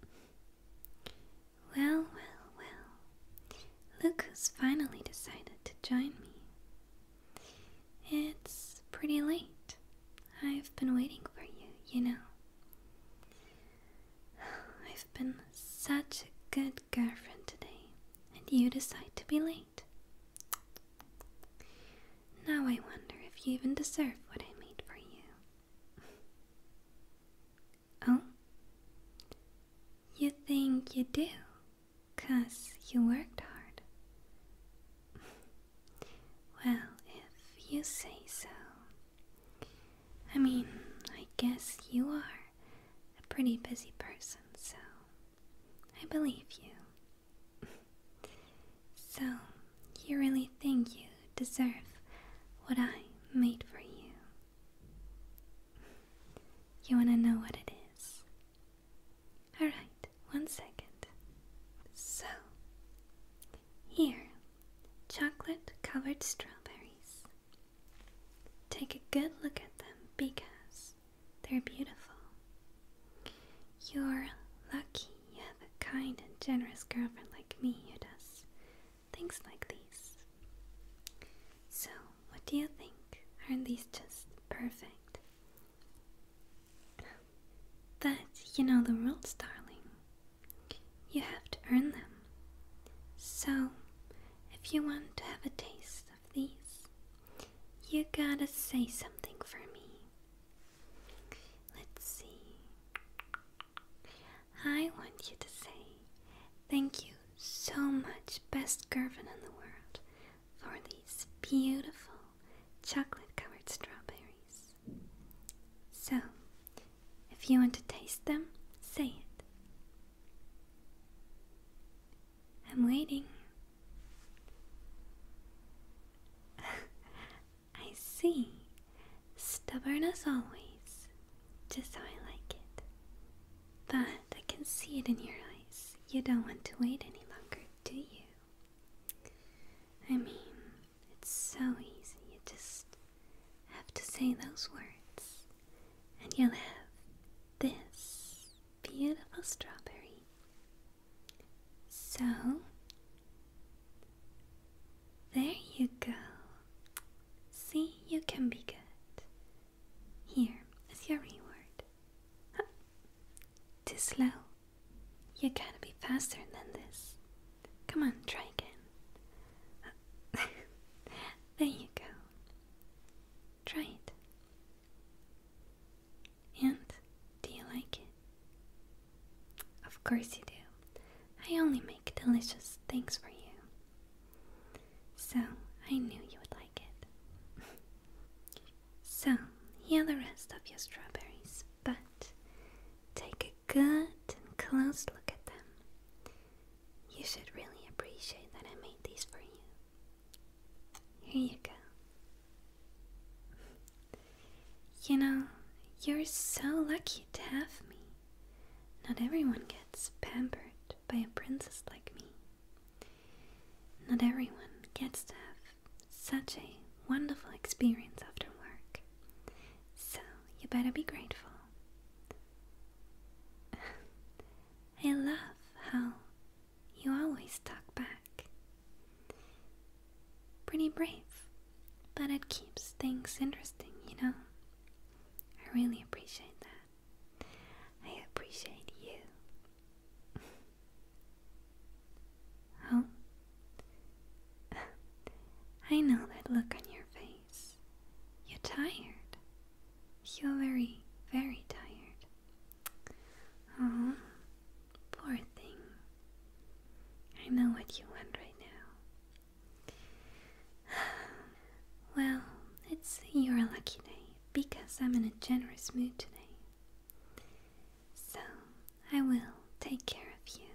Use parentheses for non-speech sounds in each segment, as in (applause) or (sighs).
Well, well, well. Look who's finally decided to join me. It's pretty late. I've been waiting for you, you know. (sighs) I've been such a good girlfriend today, and you decide to be late. Now I wonder if you even deserve what I made for you. Oh? You think you do? Cause you worked hard. (laughs) well, if you say so. I mean, I guess you are a pretty busy person, so I believe you. (laughs) so, you really think you you deserve what I made for you. You wanna know what it is? Alright, one second. So, here, chocolate covered strawberries. Take a good look at them because they're beautiful. You're lucky you have a kind and generous girlfriend like me You does things like these. So, what do you think? Aren't these just perfect? But you know the rules, darling. You have to earn them. So, if you want to have a taste of these, you gotta say something for me. Let's see. I want you to say thank you so much, best girlfriend in the world, for these beautiful chocolate covered strawberries. So, if you want to taste them, say it. I'm waiting. (laughs) I see. Stubborn as always, just how I like it. But I can see it in your eyes. You don't want to wait any longer, do you? I mean, it's so easy. You just have to say those words, and you'll have this beautiful strawberry. So, there you go. See, you can be good. Here is your reward. Huh. Too slow. You gotta be faster than this. Come on, try again. (laughs) there you go. Try it. And do you like it? Of course you do. I only make delicious things for you. So I knew you would like it. (laughs) so here are the rest of your strawberries, but take a good and close look at them. You should really appreciate that I made these for you. Here you go. (laughs) You know, you're so lucky to have me. Not everyone gets pampered by a princess like me. Not everyone gets to have such a wonderful experience after work. So you better be grateful. (laughs) I love how you always talk back. Pretty brave, but it keeps things interesting, you know? I really appreciate that. I appreciate you. (laughs) oh? (laughs) I know that look on your face. You're tired. You're very, very tired. Oh, poor thing. I know what you want right now. (sighs) well, it's your lucky day because I'm in a generous mood today. So I will take care of you.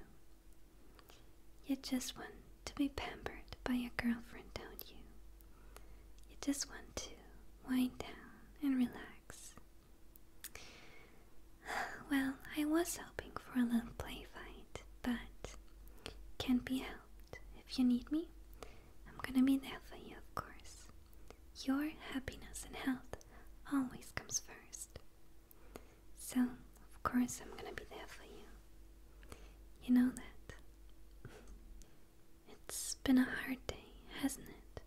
You just want to be pampered by your girlfriend, don't you? You just want to wind down and relax. (sighs) Well, I was hoping for a little play fight, but can't be if you need me. I'm gonna be there for you, of course. Your happiness and health always comes first. So, of course, I'm gonna be there for you. You know that. (laughs) It's been a hard day, hasn't it?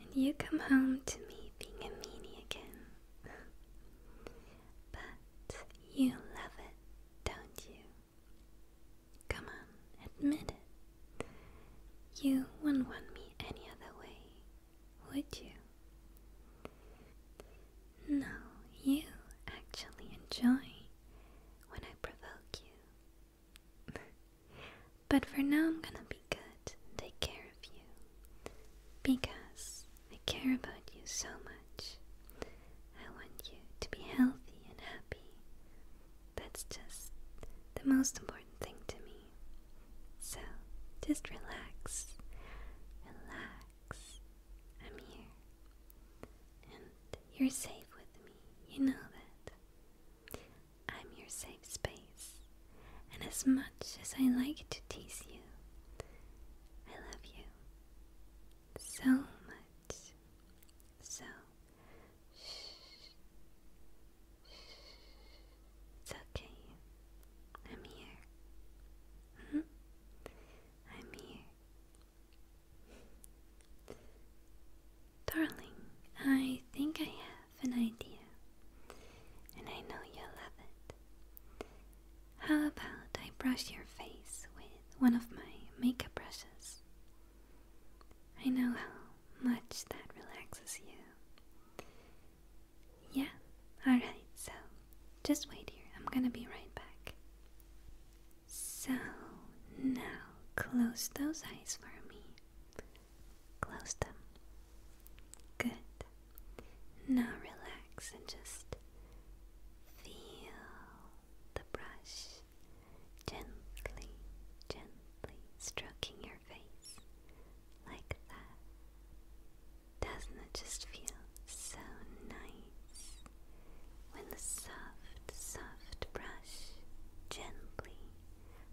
And you come home to me being a meanie again. (laughs) But you love it, don't you? Come on, admit it. You wouldn't want me any other way, would you? No, you actually enjoy when I provoke you. (laughs) but for now, I'm gonna be good and take care of you. Because I care about you so much. I want you to be healthy and happy. That's just the most important thing to me. So just relax. Relax. I'm here. And you're safe with me. You know that. I'm your safe space. And as much as I like to tease you, I love you so much. So, it's okay. I'm here. -hmm. I'm here. Darling, I think I have an idea, and I know you'll love it. How about I brush your face with one of my makeup brushes? I know how much that relaxes you. Yeah, alright, so just wait here. I'm gonna be right back. So, now close those eyes for me. Close them. Good. Now relax and just Feel the brush gently, gently stroking your face like that. Doesn't it just feel so nice when the soft, soft brush gently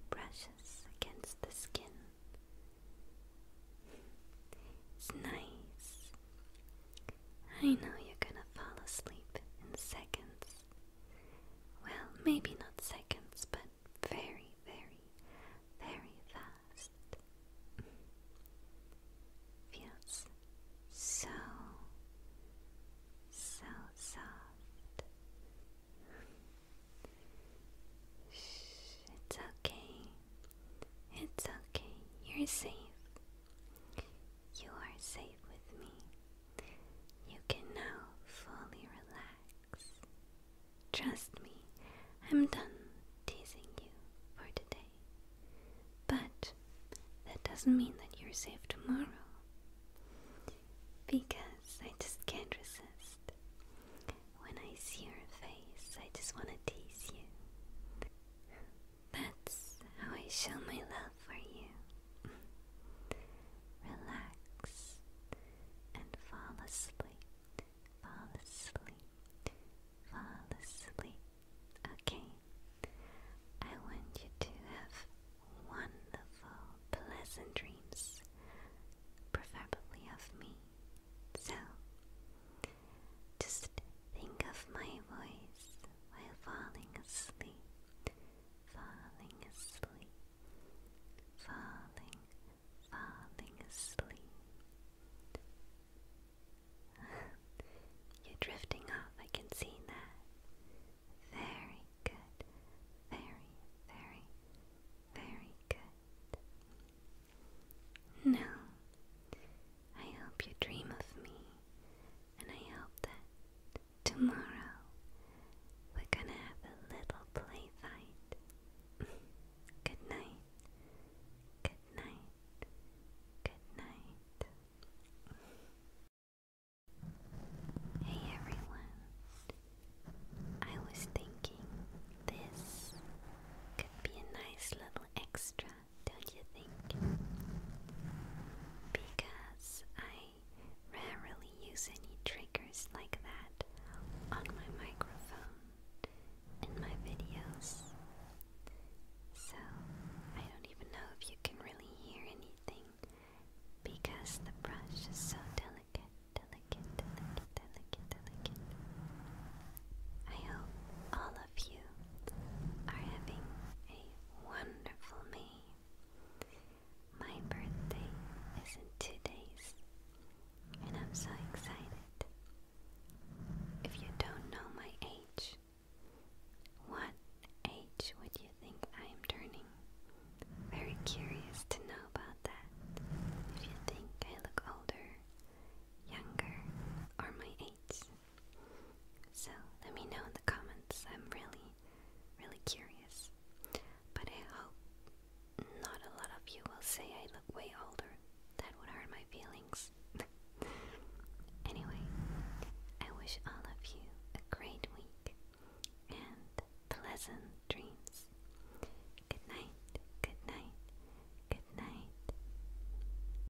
brushes against the skin? It's nice. I know you're gonna fall asleep in seconds. Well, maybe not seconds, but very, very, very fast. (laughs) Feels so, so soft. Shh, it's okay. It's okay, you're safe. You are safe with me. You can now fully relax. Trust me, I'm done teasing you for today. But that doesn't mean that you're safe tomorrow. Because I just can't resist. When I see your face, I just want to tease you. That's how I show my love for you. Relax and fall asleep. Fall asleep. Fall asleep. Okay. I want you to have wonderful, pleasant dreams, preferably of me. So, just think of my voice while falling asleep, falling asleep, falling, falling asleep. (laughs) You're drifting off, I can see that. Very good, very, very, very good. Now, I hope you dream of me, and I hope that tomorrow we're gonna have a little play fight. (laughs) good night, good night, good night. Hey everyone, I was thinking this could be a nice little extra don't you think? Because I rarely use any triggers like that on my microphone in my videos. So I don't even know if you can really hear anything because the brush is so delicate, delicate, delicate, delicate, delicate. I hope all of you are having a wonderful May. My birthday is in two and I'm so excited. If you don't know my age, what age would you think I am turning? Very curious to know about that. If you think I look older, younger, or my age, so let me know in the comments. I'm really, really curious. But I hope not a lot of you will say I look way older. That would hurt my feelings. (laughs) anyway, I wish all of you a great week and pleasant dreams. Good night, good night, good night.